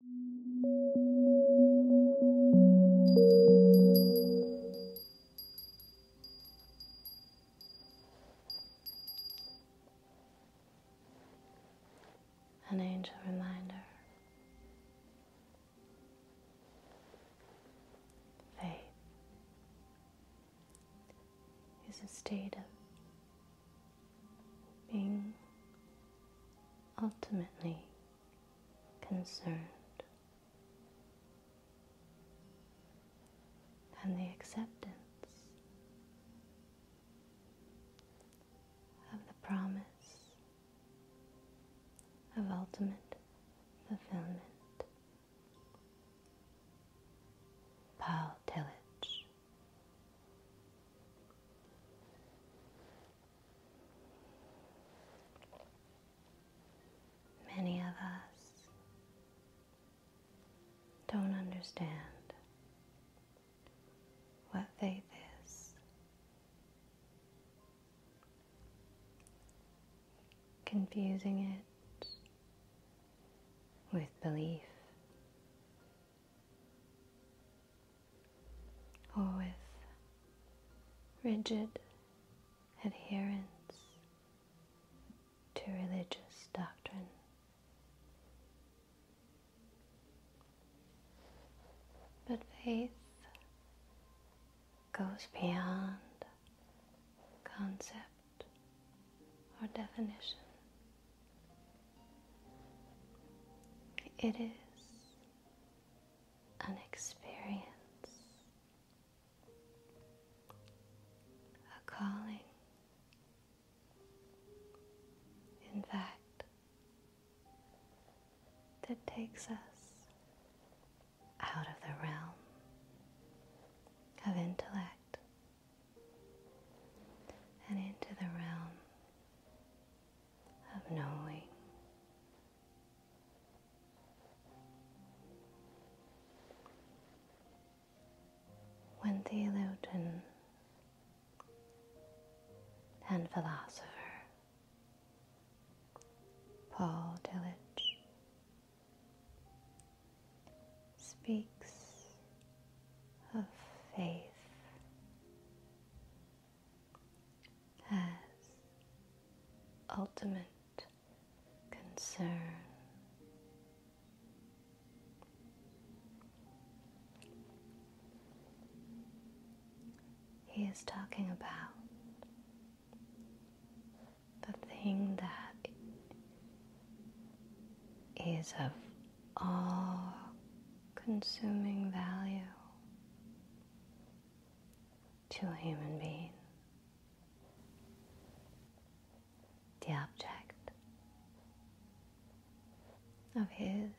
An angel reminder. Faith is a state of being ultimately concerned. And the acceptance of the promise of ultimate fulfillment. Paul Tillich. Many of us don't understand what faith is. Confusing it with belief or with rigid adherence to religious doctrine. But faith goes beyond concept or definition. It is an experience, a calling. In fact, that takes us out of the realm of intellect and into the realm of knowing. When theologian and philosopher Paul Tillich speaks of faith has ultimate concern. He is talking about the thing that is of all consuming value to a human being. The object of his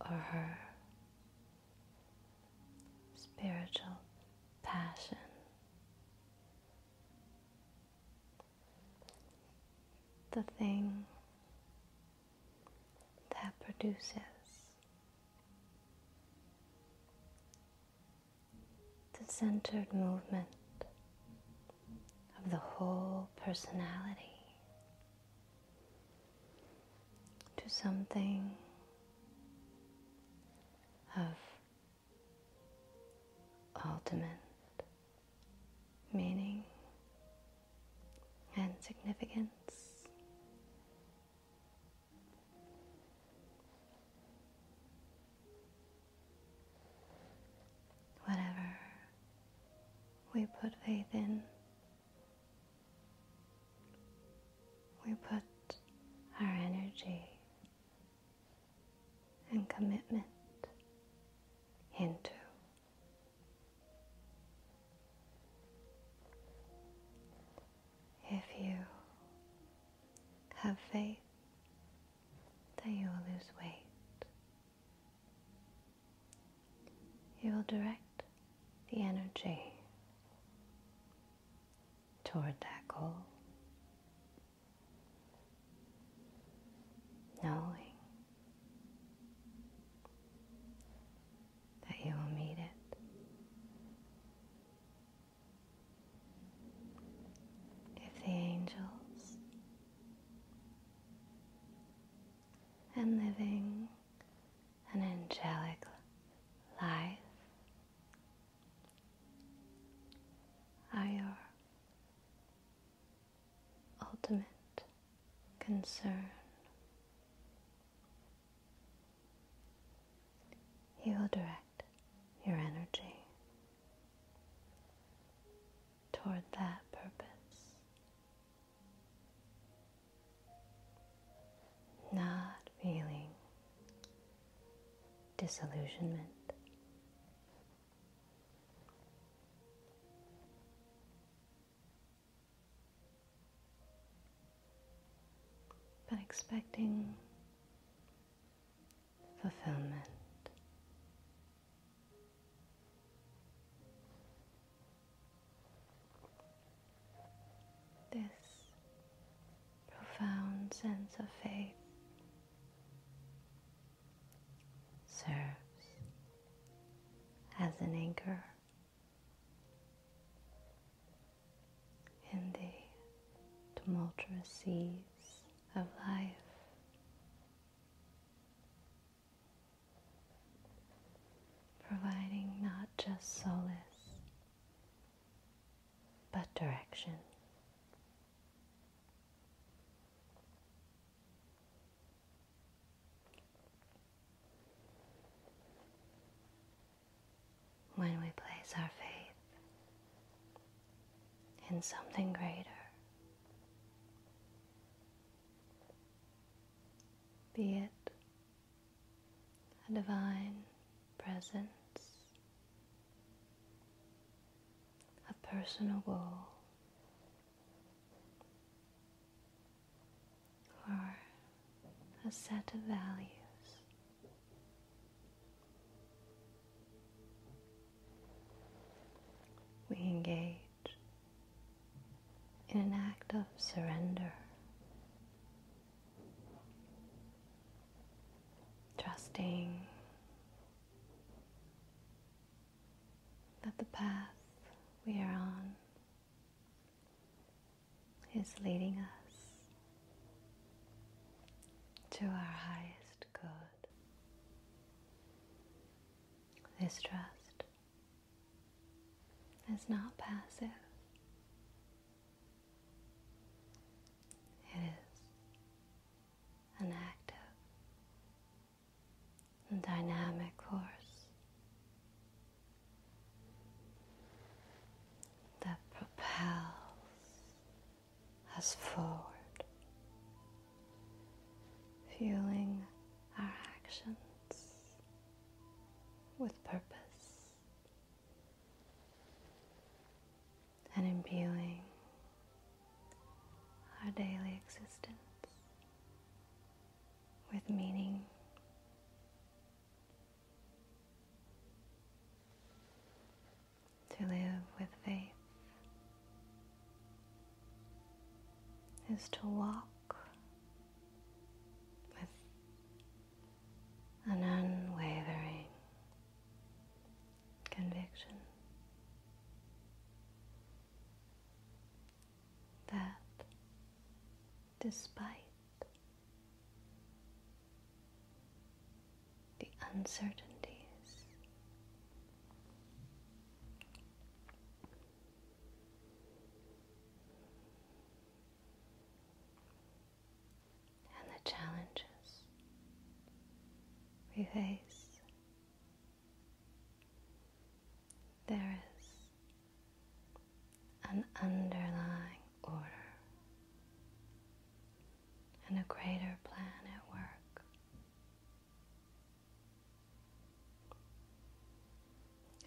or her spiritual passion. The thing that produces the centered movement of the whole personality to something of ultimate meaning and significance. Whatever we put faith in, we put our energy and commitment into. If you have faith that you will lose weight, you will direct the energy toward that goal. Knowing that you will meet it. If the angels and living an angelic life are your ultimate concern. You will direct your energy toward that purpose, not feeling disillusionment but expecting fulfillment. This profound sense of faith serves as an anchor in the tumultuous seas of life. Providing not just solace, but direction. When we place our faith in something greater, be it a divine presence, a personal goal, or a set of values. We engage in an act of surrender, trusting that the path we are on is leading us to our highest good. This trust is not passive. It is an active and dynamic force that propels us forward, fueling our actions with purpose and imbuing our daily existence with meaning. To live with faith is to walk with an unwavering conviction that despite the uncertainties. And the challenges we face, there is an underlying order and a greater plan at work.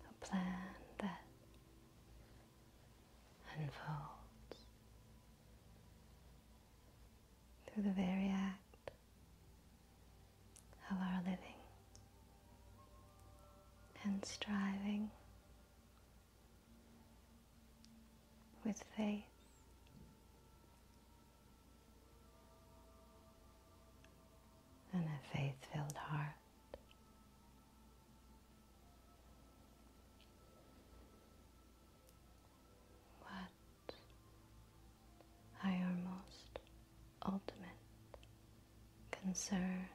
A plan that unfolds through the very act of our living and striving with faith. And a faith filled heart. What are your most ultimate concerns.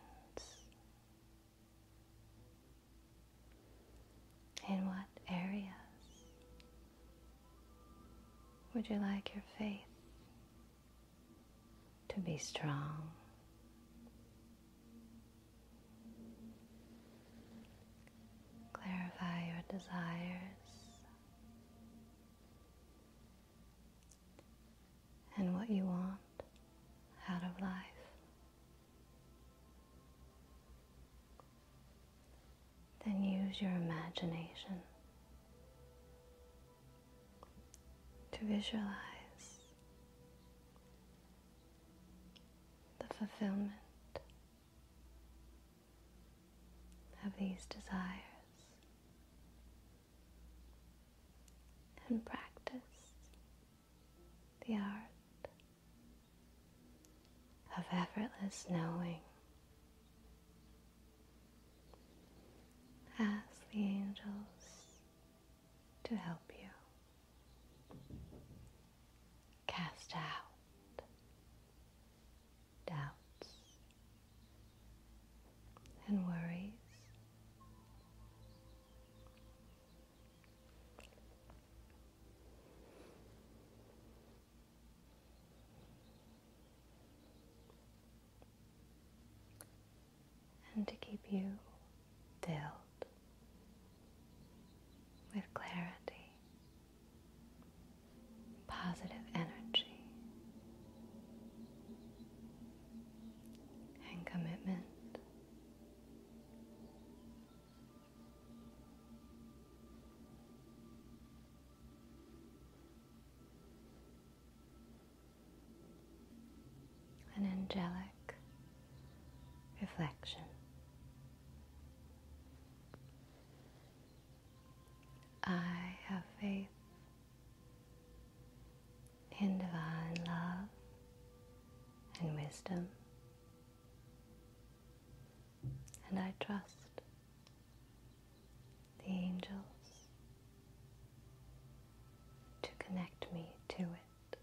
In what areas would you like your faith to be strong? Clarify your desires and what you want out of life. Then use your imagination to visualize the fulfillment of these desires and practice the art of effortless knowing ask the angels to help you cast out doubts and worries. And to keep you filled with clarity, positive energy, and commitment. An angelic reflection. I have faith in divine love and wisdom, and I trust the angels to connect me to it.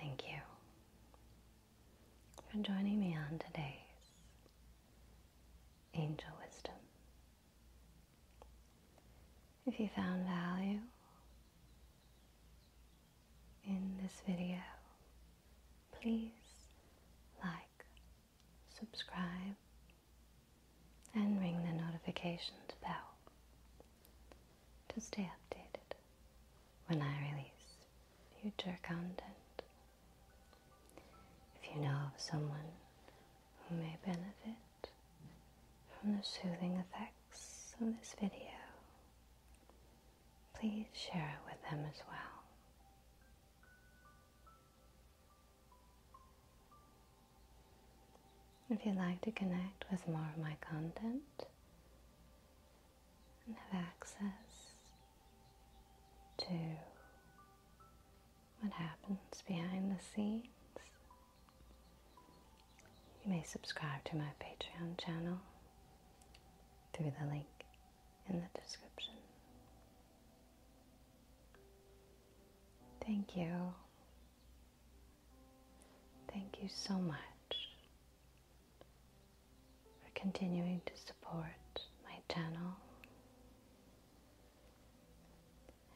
Thank you for joining me on today's Angel Wisdom. If you found value in this video, please like, subscribe, and ring the notifications bell to stay updated when I release future content. If you know of someone who may benefit from the soothing effects of this video, please share it with them as well. If you'd like to connect with more of my content and have access to what happens behind the scenes, you may subscribe to my Patreon channel through the link in the description. Thank you. Thank you so much for continuing to support my channel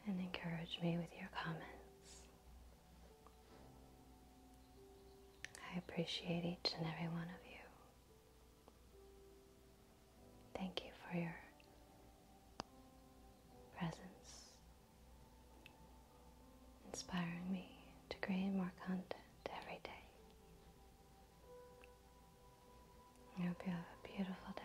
and encourage me with your comments. I appreciate each and every one of you. Thank you for your presence, inspiring me to create more content every day. I hope you have a beautiful day.